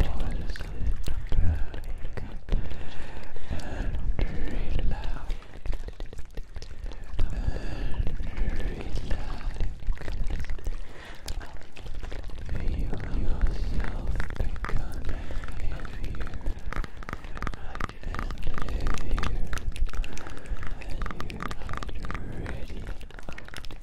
Fall asleep and relax. And relax. Feel yourself becoming heavier and heavier and you are ready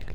Brain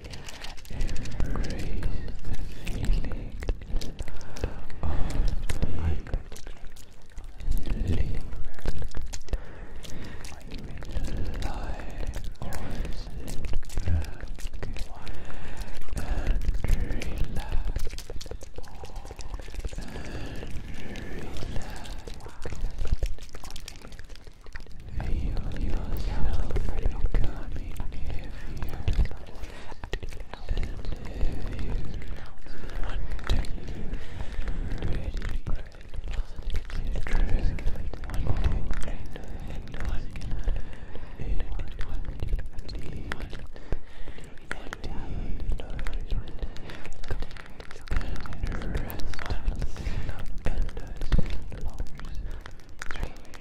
Embrace the feeling of being living. Lie relax. relax. Feel yourself becoming heavier and heavier, wanting ready to drift one day and one in one deep, one deep nourishment and rest and endless long dreams.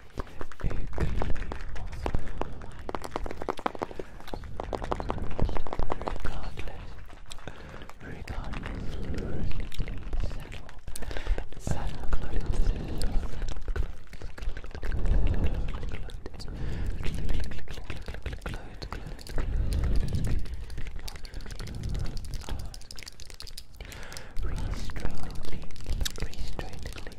Restrainedly, restrainedly,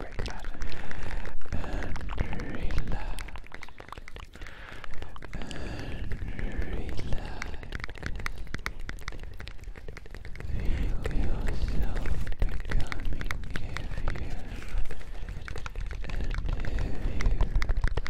And relax. And relax. Feel yourself becoming heavier and heavier, and you get ready to drift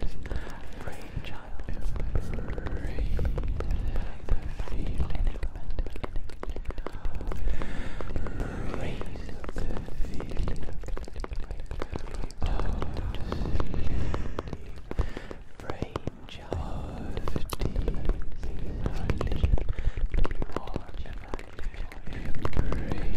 This brainchild is brain the feeling Raise the feeling of sleep Brainchild of deep Embrace the feeling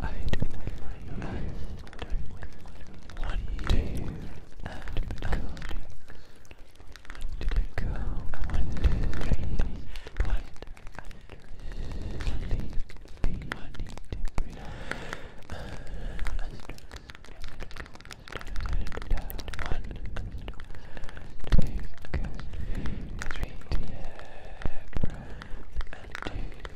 I do my best one day and become one degree one sleepy one degree one take three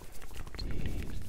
Cloud,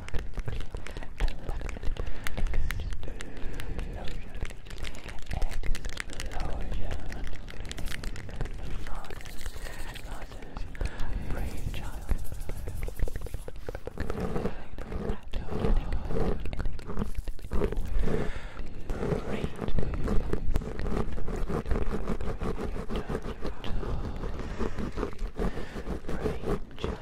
brain child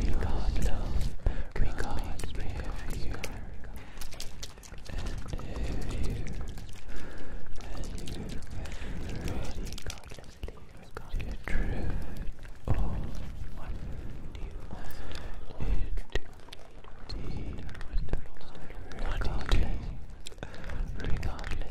Regard love, regard behavior, and behavior, and you ready to drift off into deep, regardless, regardlessly,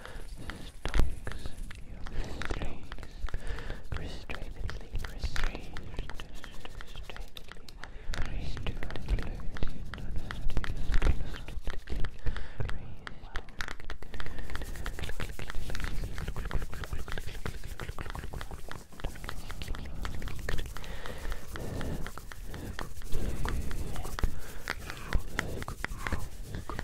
stalks you restrainedly, restrainedly, restrainedly, Look, look,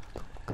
Trickle,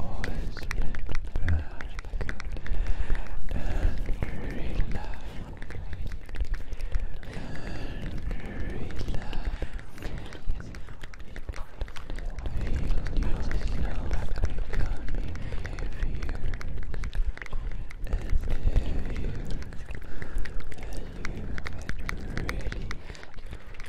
always been and relax and relax feel yourself becoming heavier and heavier as you get ready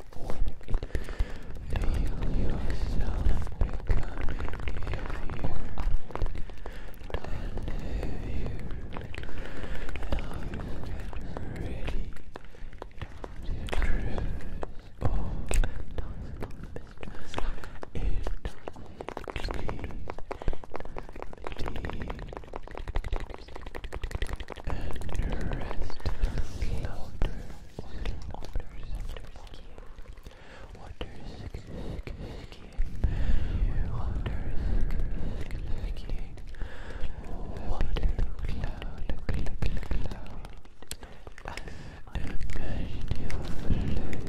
Feel yourself becoming heavier and heavier. Now you get ready to drift off in and rest Water, water, water ski. Water ski, ski, ski. Water ski, ski, ski. Water cloud, cloud, cloud. As the gravity overlays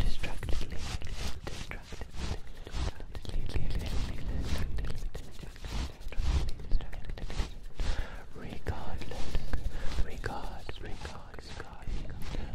distractedly, regardless, regard, regard, regard, regard,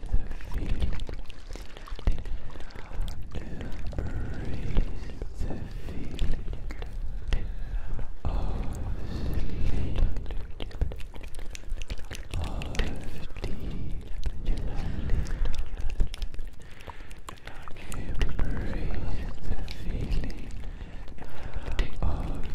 the feeling. Embrace the feeling of sleep, of deep sleep. Embrace the feeling of deep